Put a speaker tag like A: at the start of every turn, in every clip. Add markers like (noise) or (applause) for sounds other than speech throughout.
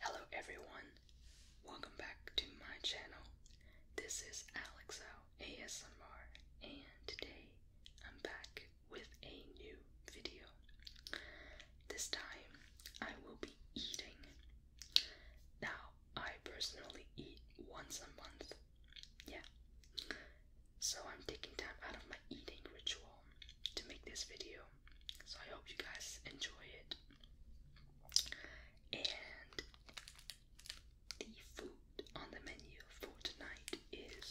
A: Hello everyone, welcome back to my channel. This is Alexo ASMR, and today I'm back with a new video. This time I will be eating. Now, I personally eat once a month, yeah. So I'm taking time out of my eating ritual to make this video. So I hope you guys enjoy it. And the food on the menu for tonight is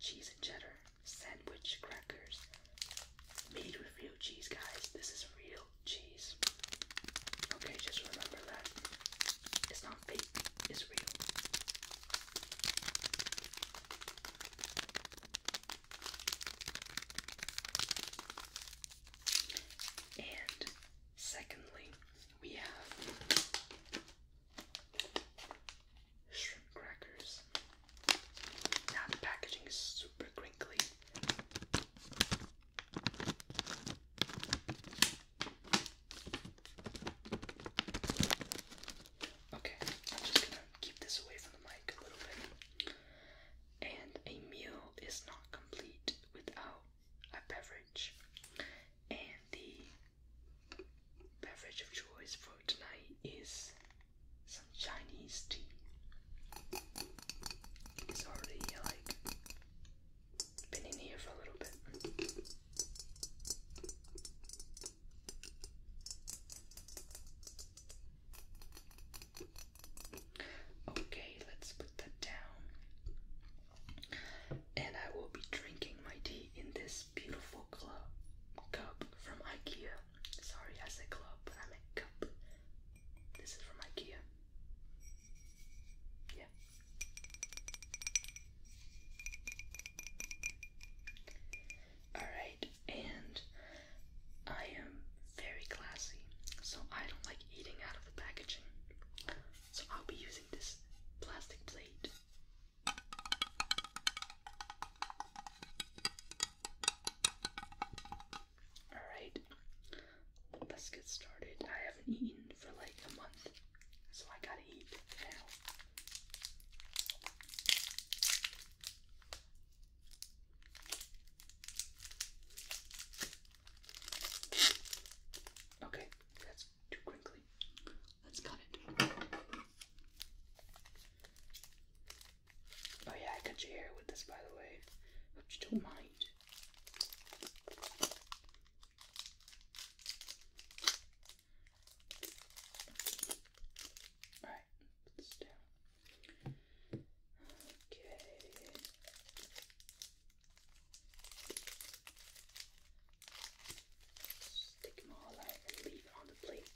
A: cheese and cheddar sandwich crackers made with real cheese, guys. This is real cheese. Okay, just remember that it's not fake, it's real. And secondly, we have shrimp crackers. Now the packaging is super crinkly. Okay, I'm just gonna keep this away from the mic a little bit. And a meal is not complete without a beverage. And the beverage of choice for tonight is some Chinese tea. It's already like been in here for a little bit. Okay, let's put that down. And I will be drinking my tea in this beautiful club cup from IKEA. Sorry, I said club, but I meant cup. This is from IKEA. Yeah. Alright, and I am very classy, so I don't like eating out of the packaging. So I'll be using this plastic plate. Alright, let's get started. I haven't eaten for like a month, so I gotta eat now. Okay, that's too crinkly. Let's cut it. Oh yeah, I cut your hair with this, by the way. Hope you don't mind. Alright, it's down. Okay. Stick them all out and leave it on the plate.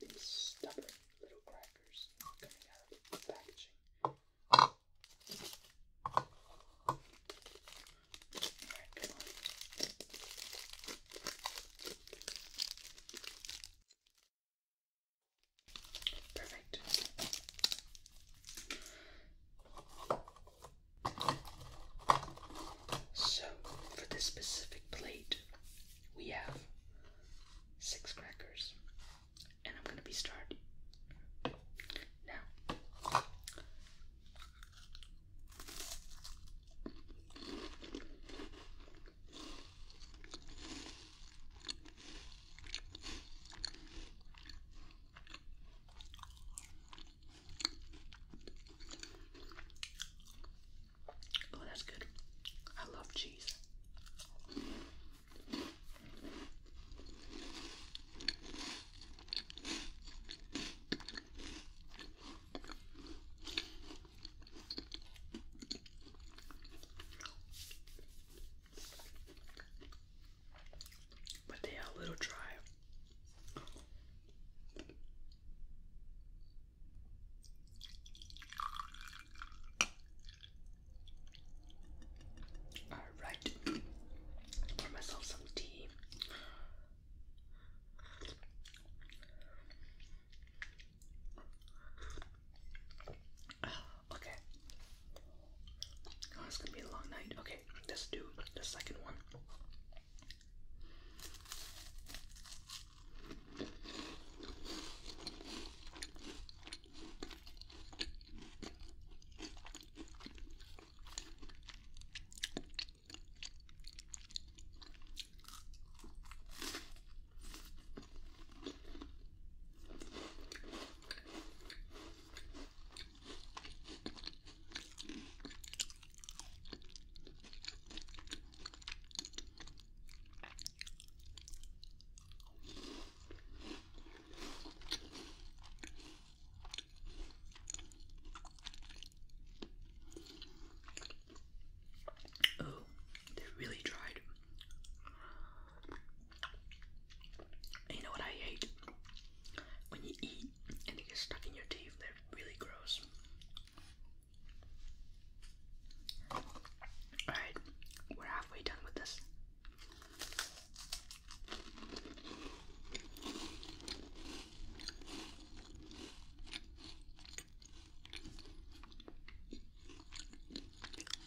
A: These stubborn little crackers coming out of the packaging. Alright, come on. So, for this specific plate, we have six crackers, and I'm going to be starting now. Oh, that's good. I love cheese. But they are a little dry. Alright, pour myself some tea. (sighs) Okay. Oh, it's gonna be a long night. Okay, let's do the second one. Oh, they're really dried you know what I hate? When you eat and it gets stuck in your teeth, they really gross. Alright, we're halfway done with this.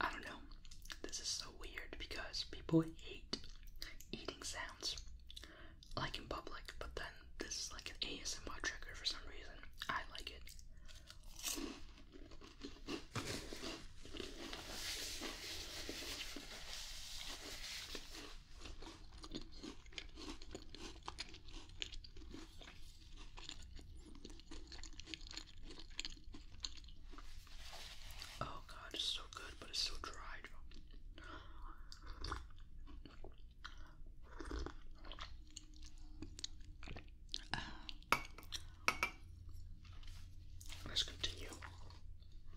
A: I don't know. This is so weird because people hate eating sounds like in public, but then this is like an ASMR trigger for some reason. I like it. Oh god, it's so good, but it's so dry. Let's continue.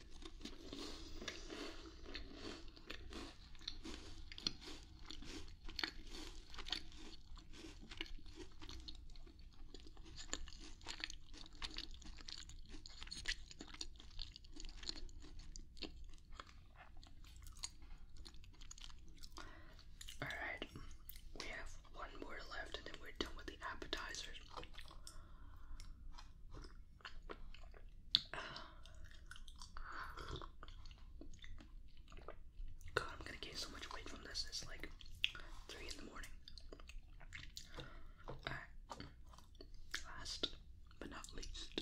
A: All right, we have one more left, and then we're done with the appetizers. God, I'm gonna gain so much weight from this. It's like three in the morning. Alright. Last but not least.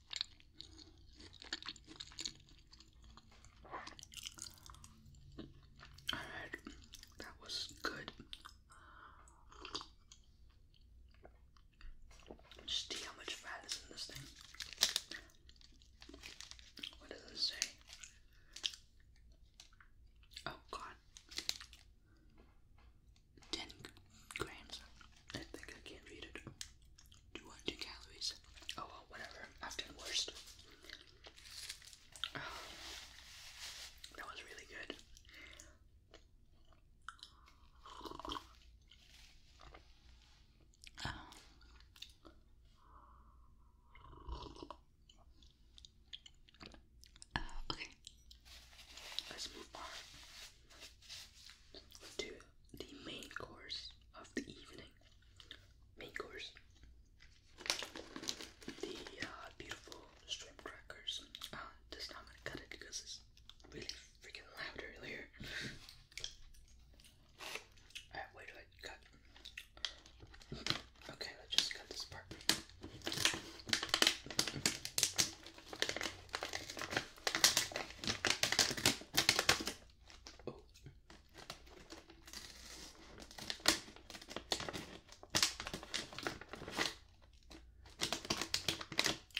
A: All right, that was good. Just see how much fat is in this thing. What does it say? Oh God. 10 grams. I think I can't read it. 200 calories. Oh well, whatever. I've done (sighs) that was really good. (sighs) Uh, okay, let's move on to the main course of the evening. Main course. The uh, beautiful shrimp crackers. Uh, this time gonna cut it because it's really freaking loud earlier. Alright, where do cut? Okay, let's just cut this part. Oh.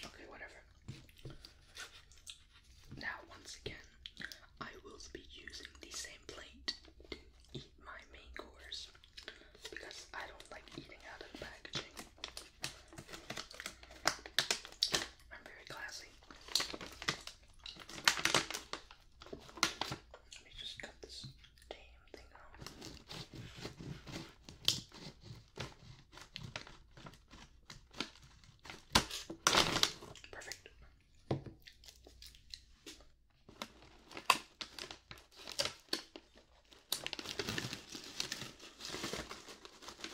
A: Okay, whatever. Now, once again, I will be using the same plate to eat my main course because I don't like eating out of packaging. I'm very classy. Let me just cut this damn thing off. Perfect. It took me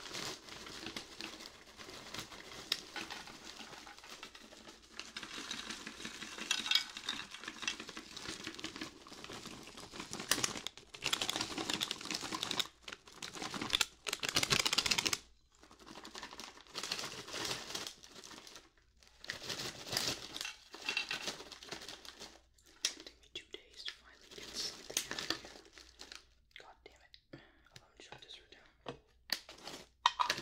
A: two days to finally get something out of here. God damn it. Oh, let me down. I'm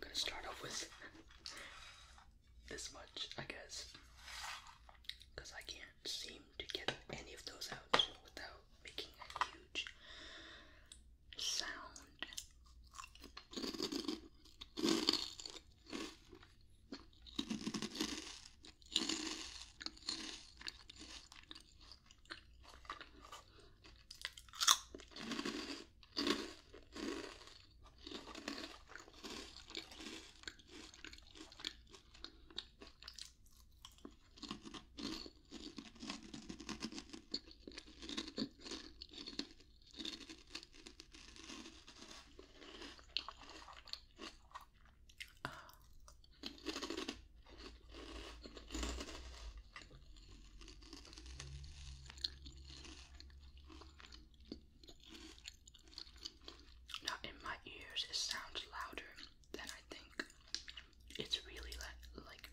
A: gonna start off with this much, I guess, because I can't see to get any of those out without making a huge sound. Now in my ears it sounds louder then I think it's really like, like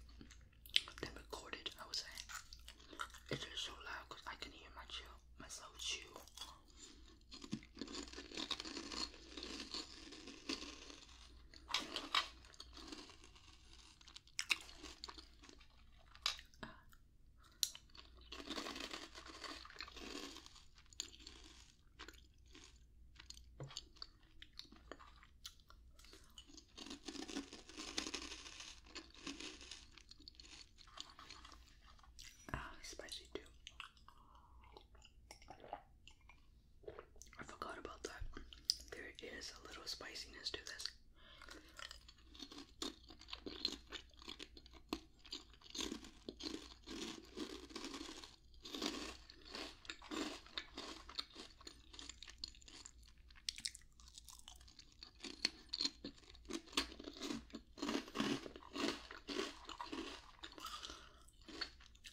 A: then recorded, I would say. It's just so loud because I can hear my chew, myself chew. Ah, spicy too. I forgot about that. There is a little spiciness to this.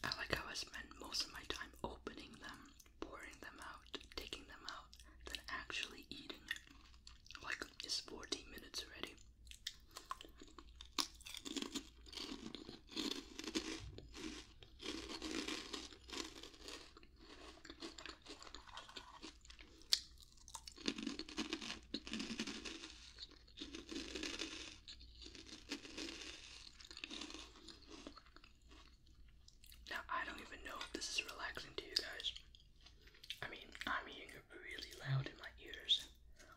A: I like how I spend most of my time opening them, pouring them out, taking them out, then actually eating it. Like it's 14 minutes already. Now, I don't even know if this is relaxing to you guys. I mean, I'm hearing it really loud in my ears.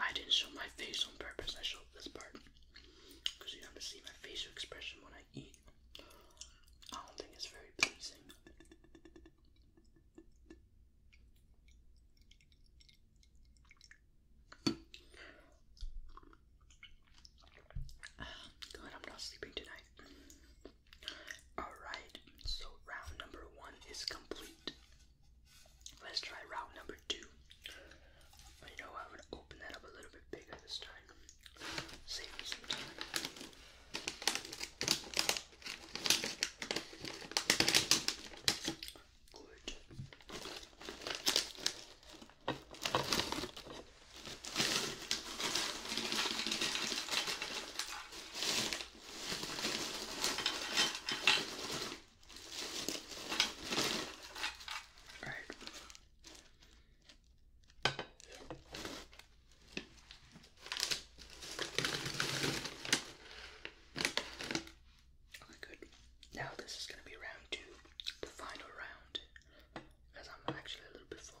A: I didn't show my face on purpose, I showed this part. Because you have to see my facial expression when I eat. I don't think it's very pleasing. (sighs) Good, I'm not sleeping tonight. Alright, so round number one is complete. Let's try route number two. You know, I'm gonna open that up a little bit bigger this time. Save me some time. Good. Right. Okay, good. Now this is going to be round two, the final round, because I'm actually a little bit full.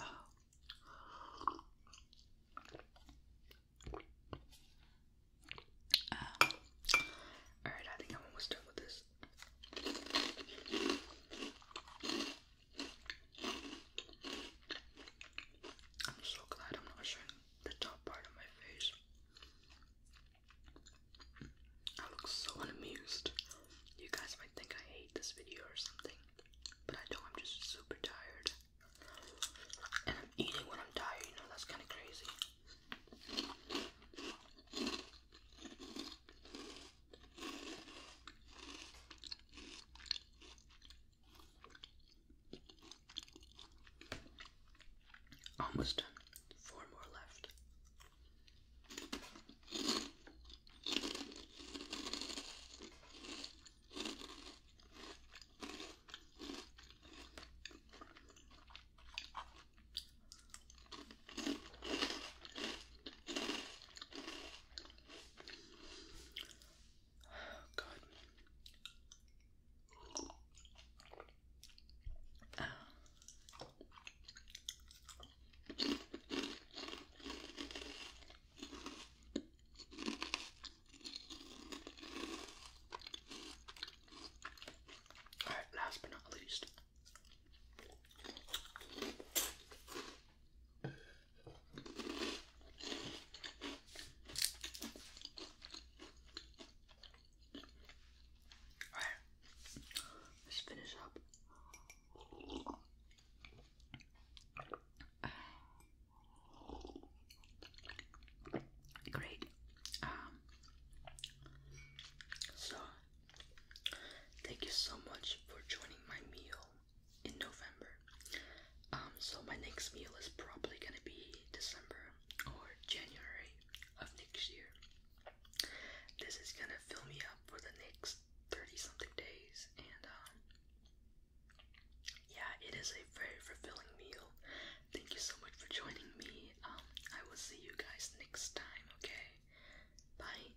A: Oh. Um, Alright, I think I'm almost done with this. I'm so glad I'm not showing the top part of my face. I look so unamused. You guys might think I hate this video or something, but I don't. I'm just super tired. And I'm eating when I'm tired, you know, that's kind of crazy. Almost done. Four more left. All right, last but not least, Alright, let's finish up. Great. Um, so, thank you so much for joining my meal in November. Um, so my next meal is probably gonna be December or January of next year. This is gonna fill me up for the next 30 something days, and um, yeah, it is a very fulfilling meal. Thank you so much for joining me. Um, I will see you guys next time, okay? Bye.